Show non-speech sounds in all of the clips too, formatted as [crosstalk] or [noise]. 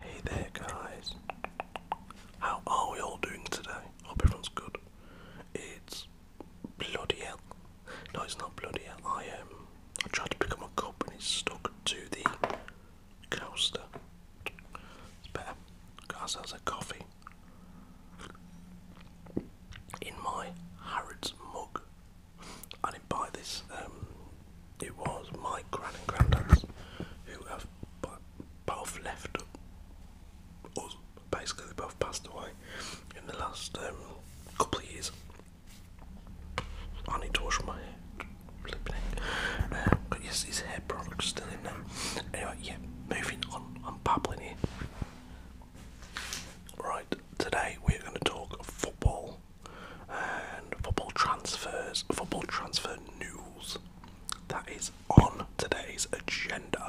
Hey there, guys. How are we all doing today? Hope everyone's good. It's bloody hell. No, it's not bloody hell. I am. Um, I tried to pick up my cup and it's stuck to the coaster. It's better. Got ourselves a coffee in my Harrods mug. I didn't buy this. Um, it was my grand and granddads who have both left us. Basically, they both passed away in the last um, couple of years. I need to wash my hair. Um, yes, his hair product's still in there. Anyway, yeah moving on, I'm babbling Right, today we're going to talk football and football transfers, football transfer news. That is on today's agenda.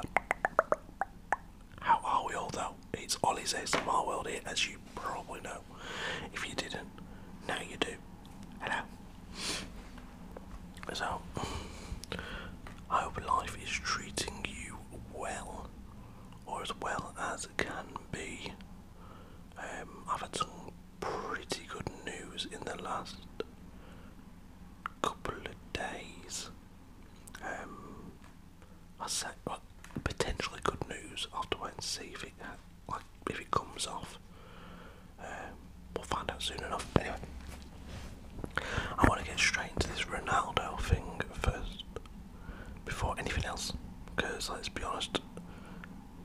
How are we all though? It's Ollie's ASMR World here, as you probably know. If you didn't, now you do. Hello. So, I hope life is treating you well, or as well as it can be. Um, I've had some pretty good news in the last couple of days. Um, I said potentially good news. I'll have to wait and see if it if it comes off. Um, we'll find out soon enough. Anyway, I want to get straight into this Ronaldo thing first, before anything else, because let's be honest,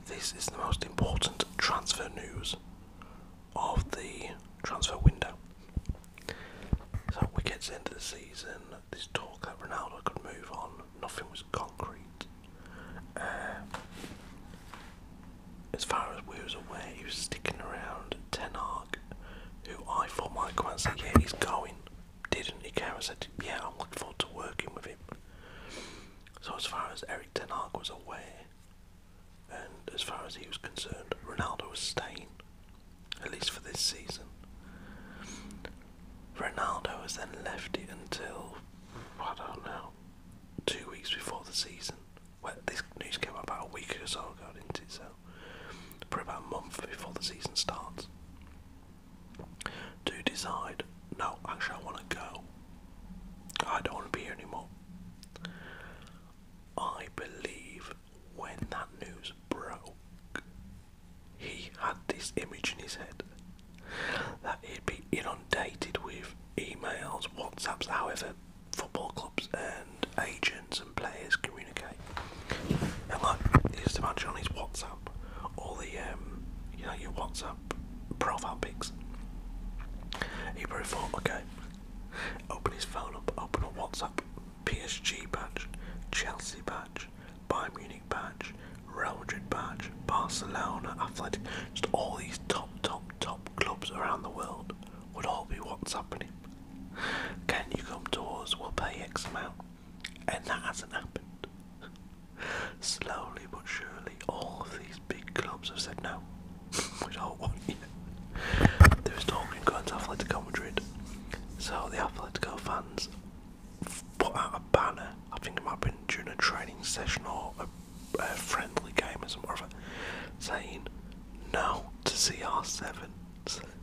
this is the most important transfer news of the transfer window. So we get to the end of the season, this talk that Ronaldo could move on, nothing was concrete. Um, as far as we was aware, he was sticking around Tenark, who I thought might come and say, yeah, he's going. Didn't he? Karen said, yeah, I'm looking forward to working with him. So as far as Eric Tenark was aware, and as far as he was concerned, Ronaldo was staying, at least for this season. Ronaldo has then left it until, I don't know, two weeks before the season. Well, this news came about a week or so ago, didn't it? So, for about a month before the season starts, do decide, no, actually, I want to go. I don't want to be here anymore. I believe when that news broke, he had this image in his head that he'd be inundated with emails, WhatsApps, however football clubs and agents and players communicate. And like, just imagine on his WhatsApp, all the um, you know your WhatsApp profile pics. He probably thought, okay, open his phone up, open a WhatsApp, PSG badge, Chelsea badge, Bayern Munich badge, Real Madrid badge, Barcelona, Athletic, just all these top, top, top clubs around the world would all be what's happening. Can you come to us? We'll pay X amount. And that hasn't happened. Slowly but surely, all of these big clubs have said no. [laughs] we don't want you. There was talking going to Atletico Madrid. So the Atletico fans put out a banner. I think it might have been during a training session or a friendly game as more of a saying no to CR7.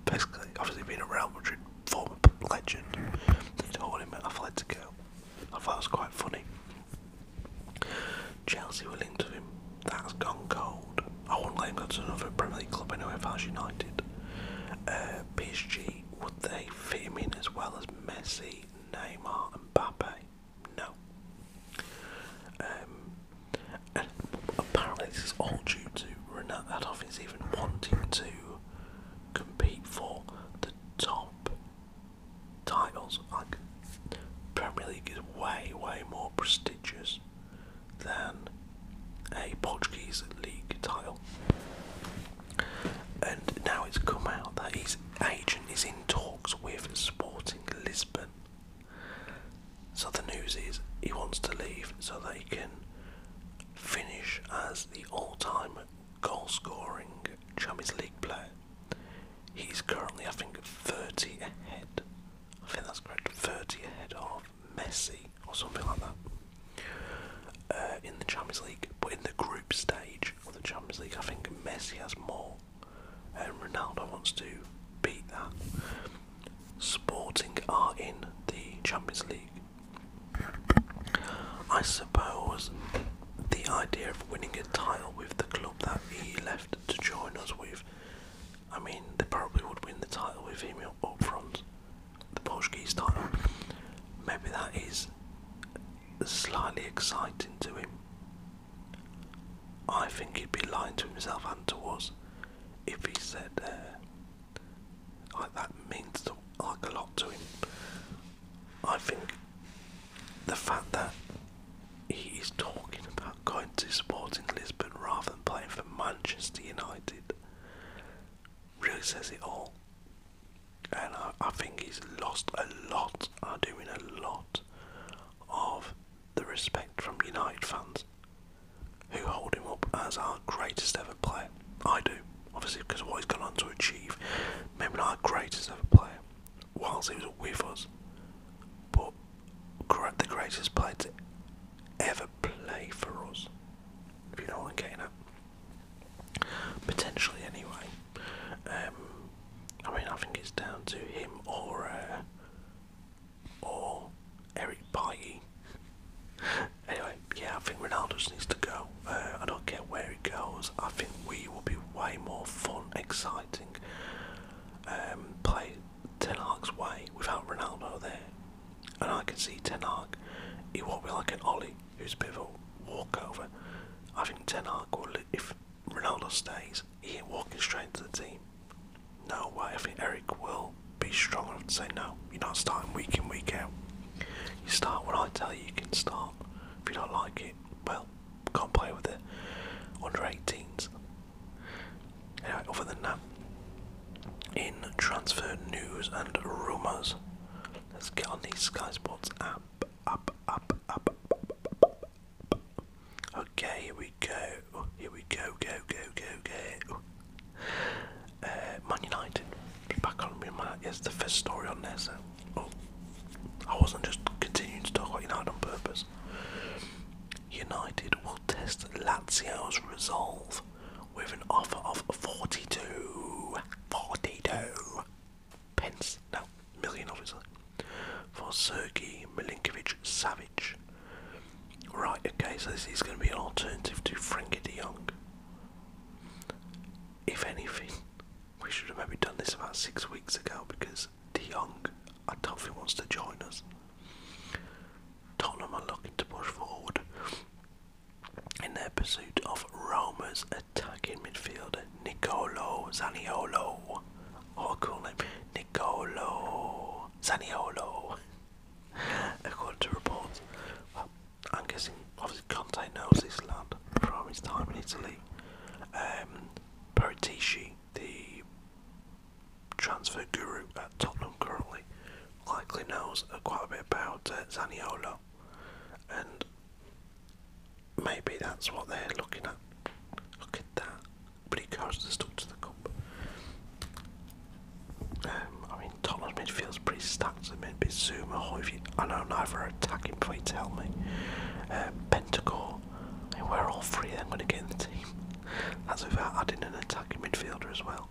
basically, obviously being a Real Madrid former legend, they told him to go." I thought it was quite funny. Chelsea were linked to him. That's gone cold. I wouldn't let him go to another Premier League club anyway if I was United. Uh, PSG, would they fit him in as well as Messi, Neymar and Mbappe? No. Um, apparently, this is all due to Renat Adolf even wanting to compete for the top titles. Like, Premier League is way, way more prestigious than a Portuguese league title. And now it's come out that his agent is in talks with Sporting Lisbon so the news is he wants to leave so that he can finish as the all-time goal-scoring Champions League player. He's currently, I think, 30 ahead. I think that's correct. 30 ahead of Messi or something like that uh, in the Champions League. But in the group stage of the Champions League, I think Messi has more and Ronaldo wants to beat that. Sporting are in the Champions League. I suppose the idea of winning a title with the club that he left to join us with, I mean, they probably would win the title with him up front, the Portuguese title. Maybe that is slightly exciting to him. I think he'd be lying to himself and to us if he said uh, like that means a lot to him. I think the fact that he is talking about going to Sporting Lisbon rather than playing for Manchester United really says it all. And I think he's lost a lot, are doing a lot of the respect from United fans who hold him up as our greatest ever player. I do, obviously, because of what he's gone on to achieve. Maybe not our greatest ever player, whilst he was with us, but the greatest player to ever play for us. If you don't want am getting at. Potentially, anyway. Um, I mean, I think it's down to him or. Uh, or Eric Bailly. anyway, yeah, I think Ronaldo needs to go. Uh, I don't care where he goes. I think we will be way more fun, exciting. Um, play Ten Hag's way without Ronaldo there, and I can see Ten Hag. He won't be like an Ollie, who's a bit of a walkover. I think Ten Hag will, if Ronaldo stays, he ain't walking straight to the team. No way. I think Eric will be strong enough to say no. You're not starting week in, week out. You start when I tell you you can start. If you don't like it, well, can't play with it. Under 18s. Anyway, other than that, in transfer news and rumours, let's get on the Sky Sports app. Up, up, up, up, up, up, Okay, here we go. Here we go, go, go, go, go. Uh, Man United. Back on with Man It's the first story on there, so. Oh, I wasn't just continuing to talk about United on purpose. United will test Lazio's resolve with an offer of 42. 42 pence. No, million obviously, for Sergey Milinkovic Savage. Right, okay, so this is going to be an alternative to Frankie de Jong. If anything, we should have maybe done this about six weeks ago because de Jong, I don't think, wants to join us. Tottenham are looking to push forward in their pursuit of Roma's attacking midfielder Nicolo Zaniolo, or cool name, Nicolo Zaniolo, [laughs] according to reports. I'm guessing, obviously, Conte knows this lad from his time in Italy. Um, the transfer guru at Tottenham currently, likely knows quite a bit about uh, Zaniolo, and maybe that's what they're looking at. Look at that but he carries the stuff to the cup. Um, I mean, Thomas midfield is pretty stacked at the minute. Bizuma, oh, if you, I know neither are attacking, please tell me. Uh, we're all three of them going to get in the team. That's without adding an attacking midfielder as well.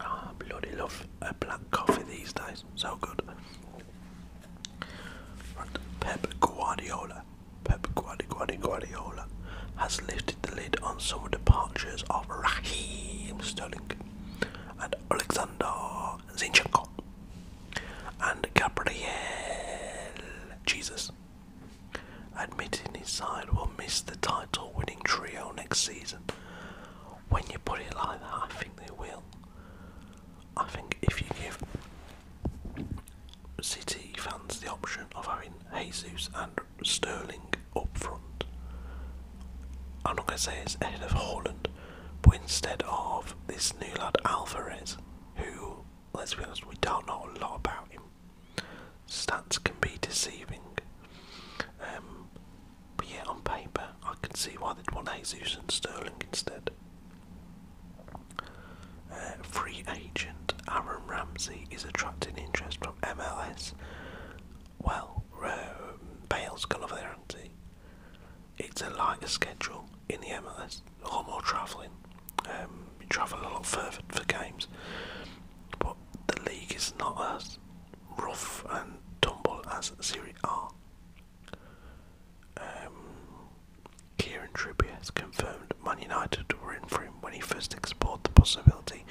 Ah, bloody love a black coffee these days. So good. And Pep Guardiola, Pep Guardiola has lifted the lid on some departures of Raheem Sterling and Alexander Zinchenko and Gabriel Jesus, admitting his side will miss the title-winning trio next season. When you put it like that, I think they will. I think if you give City fans the option of having Jesus and Sterling up front, I'm not going to say it's ahead of Holland, but instead of this new lad Alvarez, who, let's be honest, we don't know a lot about him. Stats can be deceiving. Um, but yeah, on paper, I can see why they'd want Jesus and Sterling instead. Uh, free agent Aaron Ramsey is attracting interest from MLS. Well, um, Bale's gone over there, hasn't It's a lighter schedule in the MLS, a lot more travelling. Um, you travel a lot further for games, but the league is not as rough and tumble as Serie A. Um, Kieran Trippier has confirmed Man United were in for him when he first explored the possibility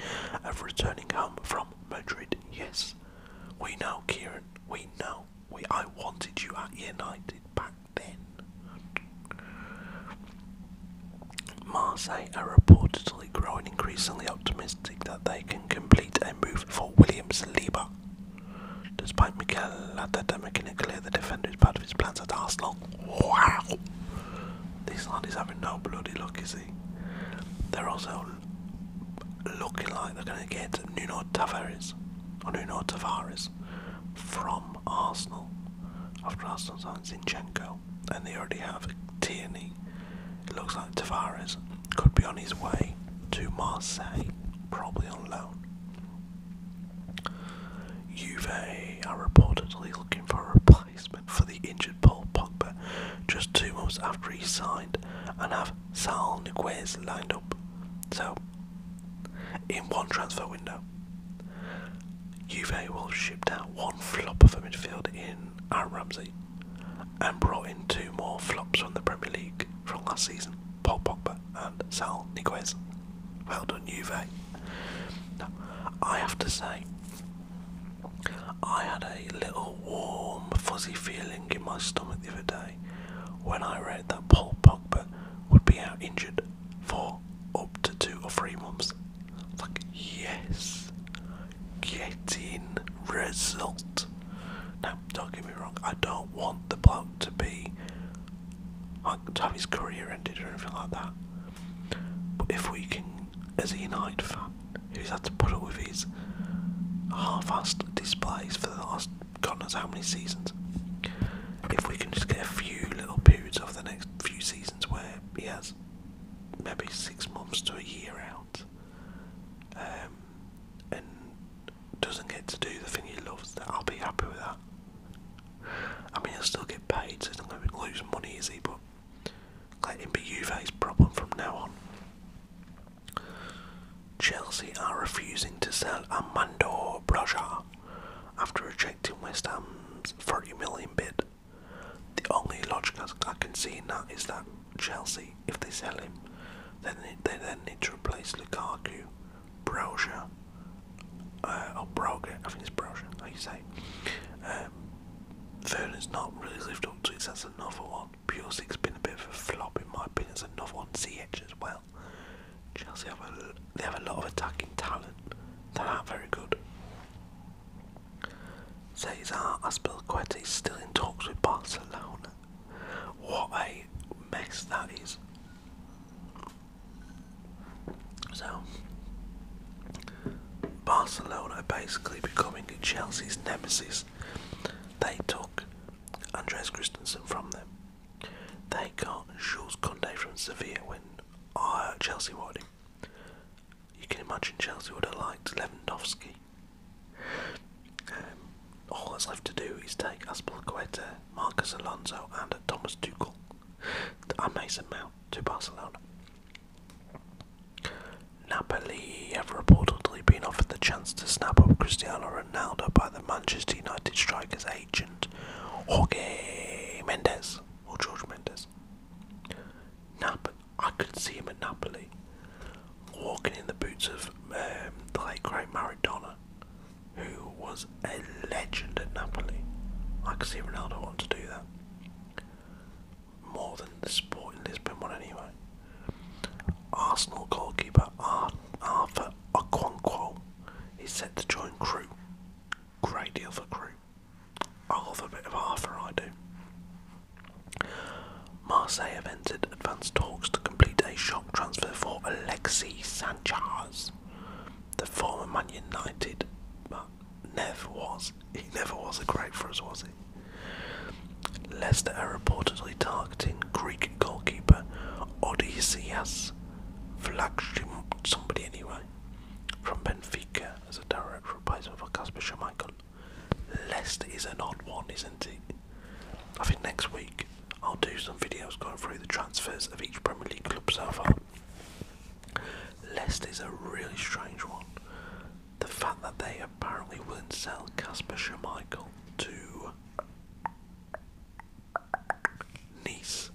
of returning home from Madrid. Yes, we know, Kieran. We know. I wanted you at United back then. Marseille are reportedly growing increasingly optimistic that they can complete a move for Williams Lieber Despite Miguel Mikel Arteta making it clear the defender is part of his plans at Arsenal. Wow! This lad is having no bloody luck, is he? They're also looking like they're going to get Nuno Tavares, or Nuno Tavares, from Arsenal after Arsenal signed Zinchenko, and they already have Tierney. It looks like Tavares could be on his way to Marseille, probably on loan. Juve are reportedly looking for a replacement for the injured Paul Pogba just two months after he signed and have Sal Niguez lined up. So, in one transfer window, Juve will ship out one flop of a midfield in Aaron Ramsey and brought in two more flops from the Premier League from last season, Paul Pogba Silva and Sal Niguez. Well done, Juve. I have to say, I had a little warm, fuzzy feeling in my stomach the other day when I read that Paul Pogba would be out injured for up to two or three months. Like, yes, getting result. Now, don't get me wrong, I don't want the bloke to be to have his career ended or anything like that. But if we can, as a United fan, who's had to put up with his half-assed displays for the last God knows how many seasons, if we can just get a few little periods over the next few seasons where he has maybe six months to a year out, um, and doesn't get to do the thing he loves, I'll be happy with that. I mean, he'll still get paid, so he's not going to lose money, is he? But let him be Juve's problem from now on. Chelsea are refusing to sell Armando Broja after rejecting West Ham's 30 million bid. The only logic I can see in that is that Chelsea, if they sell him, then they, they then need to replace Lukaku, Brosia, uh, or oh, Broga, I think it's Brosia, how you say. Um, Vernon's not really lived up to it, so that's another one. Pure 6 been a bit of a flop in my opinion, it's another one. CH as well. Chelsea have a, they have a lot of attacking talent. They're not very good. Cesar Aspilqueta is still in talks with Barcelona. What a mess that is. So, Barcelona basically becoming Chelsea's nemesis. They took Andres Christensen from them. They got Jules Condé from Sevilla when uh, Chelsea wanted him. You can imagine Chelsea would have liked Lewandowski. Um, all that's left to do is take Aspilqueta, Marcus Alonso, and Thomas Tuchel and Mason Mount to Barcelona. Napoli have reportedly been offered the chance to snap up Cristiano Ronaldo by the Manchester United striker's agent, Jorge Mendes or George Mendes. Nap I could see him at Napoli walking in the boots of um, the late great Maradona who was a legend at Napoli. I could see Ronaldo want to do that. More than the sport in Lisbon one, anyway. Arsenal goalkeeper Ar Arthur Okonkwo is set to join Crew. Great deal for Crew. I love a bit of Arthur, I do. Marseille have entered had advanced talks to complete a shock transfer for Alexis Sanchez. The former Man United but never was. [laughs] He never was a great for us, was he? Leicester are reportedly targeting Greek goalkeeper Odysseas Flagship somebody anyway. From Benfica as a direct replacement for Casper Schmeichel. Leicester is an odd one, isn't it? I think next week I'll do some videos going through the transfers of each Premier League club so far. Leicester's a really strange one. The fact that they apparently wouldn't sell Casper Schmeichel to Nice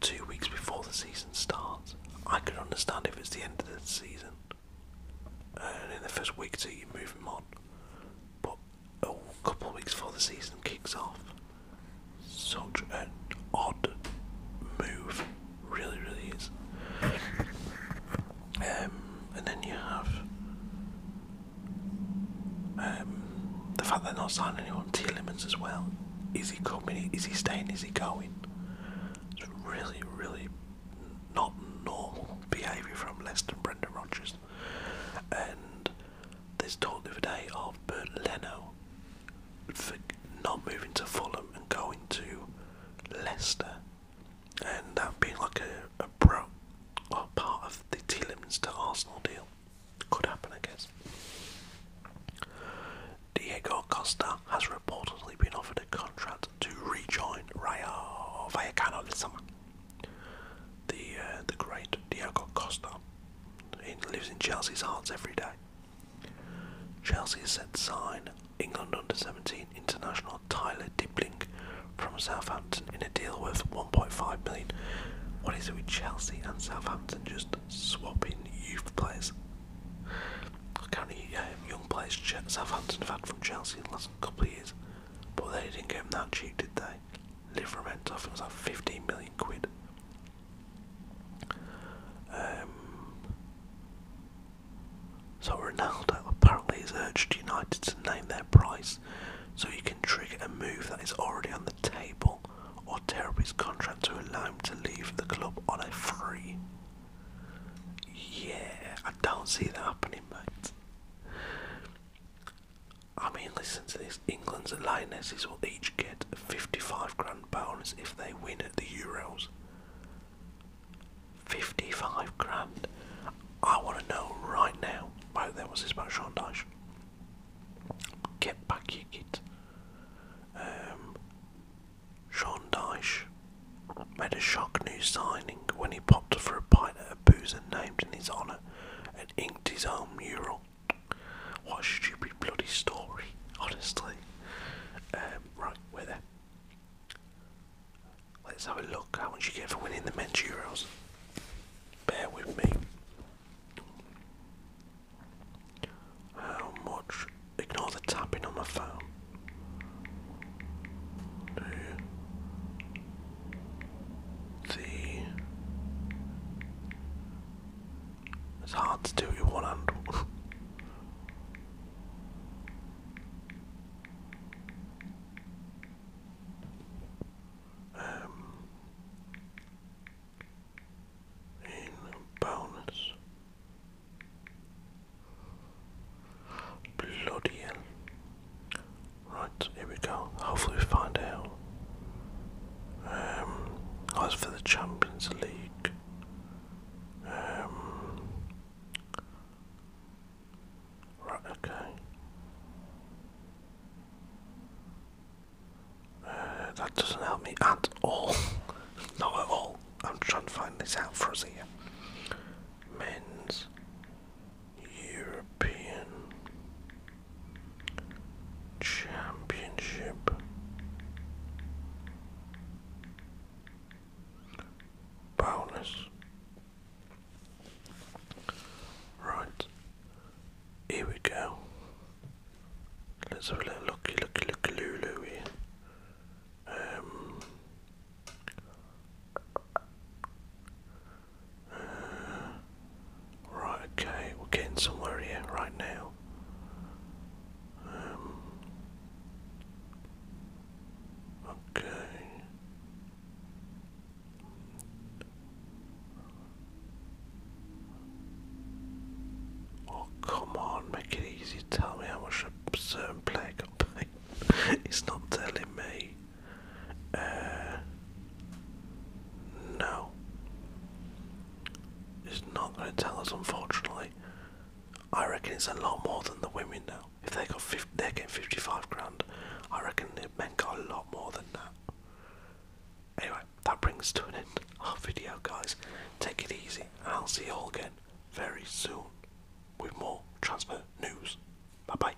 two weeks before the season starts. I can understand if it's the end of the season. And in the first week or you move him on. But a couple of weeks before the season kicks off. Such an odd move, really, really is. Um, and then you have um, the fact they're not signing anyone to limits as well. Is he coming? Is he staying? Is he going? It's really, really not normal behaviour from Leicester Brendan Rodgers. And there's talk today of Bert Leno for not moving to Fulham and going to Leicester, and that being like a, bro part of the Telemans to Arsenal deal. Could happen, I guess. Diego Costa has reportedly been offered a contract to rejoin Rayo Vallecano this summer the uh, the great Diogo Costa. He lives in Chelsea's hearts every day. Chelsea has set sign England under 17 international Tyler Dibling from Southampton in a deal worth 1.5 million. What is it with Chelsea and Southampton just swapping youth players? how many um, young players Southampton have had from Chelsea in the last couple of years, but they didn't get him that cheap, did they? Livermento, I think it was like 15 million quid. Um, so Ronaldo apparently has urged United to name their price so he can trigger a move that is already on the table or tear contract to allow him to leave the club on a free. Yeah, I don't see that happening, mate. I mean, listen to this. England's Lionesses will each get 55 grand bonus if they win at the Euros. 55 grand. I want to know right now. Right there, was this about Sean Dyche? Get back, you kid. Um, Sean Dyche made a shock new signing when he popped for a pint at a boozer named in his honour, inked his own mural. What a stupid bloody story, honestly. Um, right, where there. Let's have a look. How much you get for winning the men's Euros? Bear with me. How much? Ignore the tapping on my phone the it's hard to do with one hand. [laughs] um, in bonus, bloody hell! Right, here we go. Hopefully we find out. Um, as for the Champions League. Um, right, okay. Uh, that doesn't help me at all. [laughs] Not at all. I'm trying to find this out for us here. Men's European Championship bonus. Right, here we go. Let's have a little looky, looky, looky, Lulu right, okay, we're getting somewhere here right now. Um, okay. Oh, come on, make it easy. Tell me how much a certain [laughs] it's not telling me. Uh, no. It's not going to tell us, unfortunately. I reckon it's a lot more than the women now. If they got 50, they're getting 55 grand, I reckon the men got a lot more than that. Anyway, that brings us to an end our video, guys. Take it easy, I'll see you all again very soon with more transfer news. Bye bye.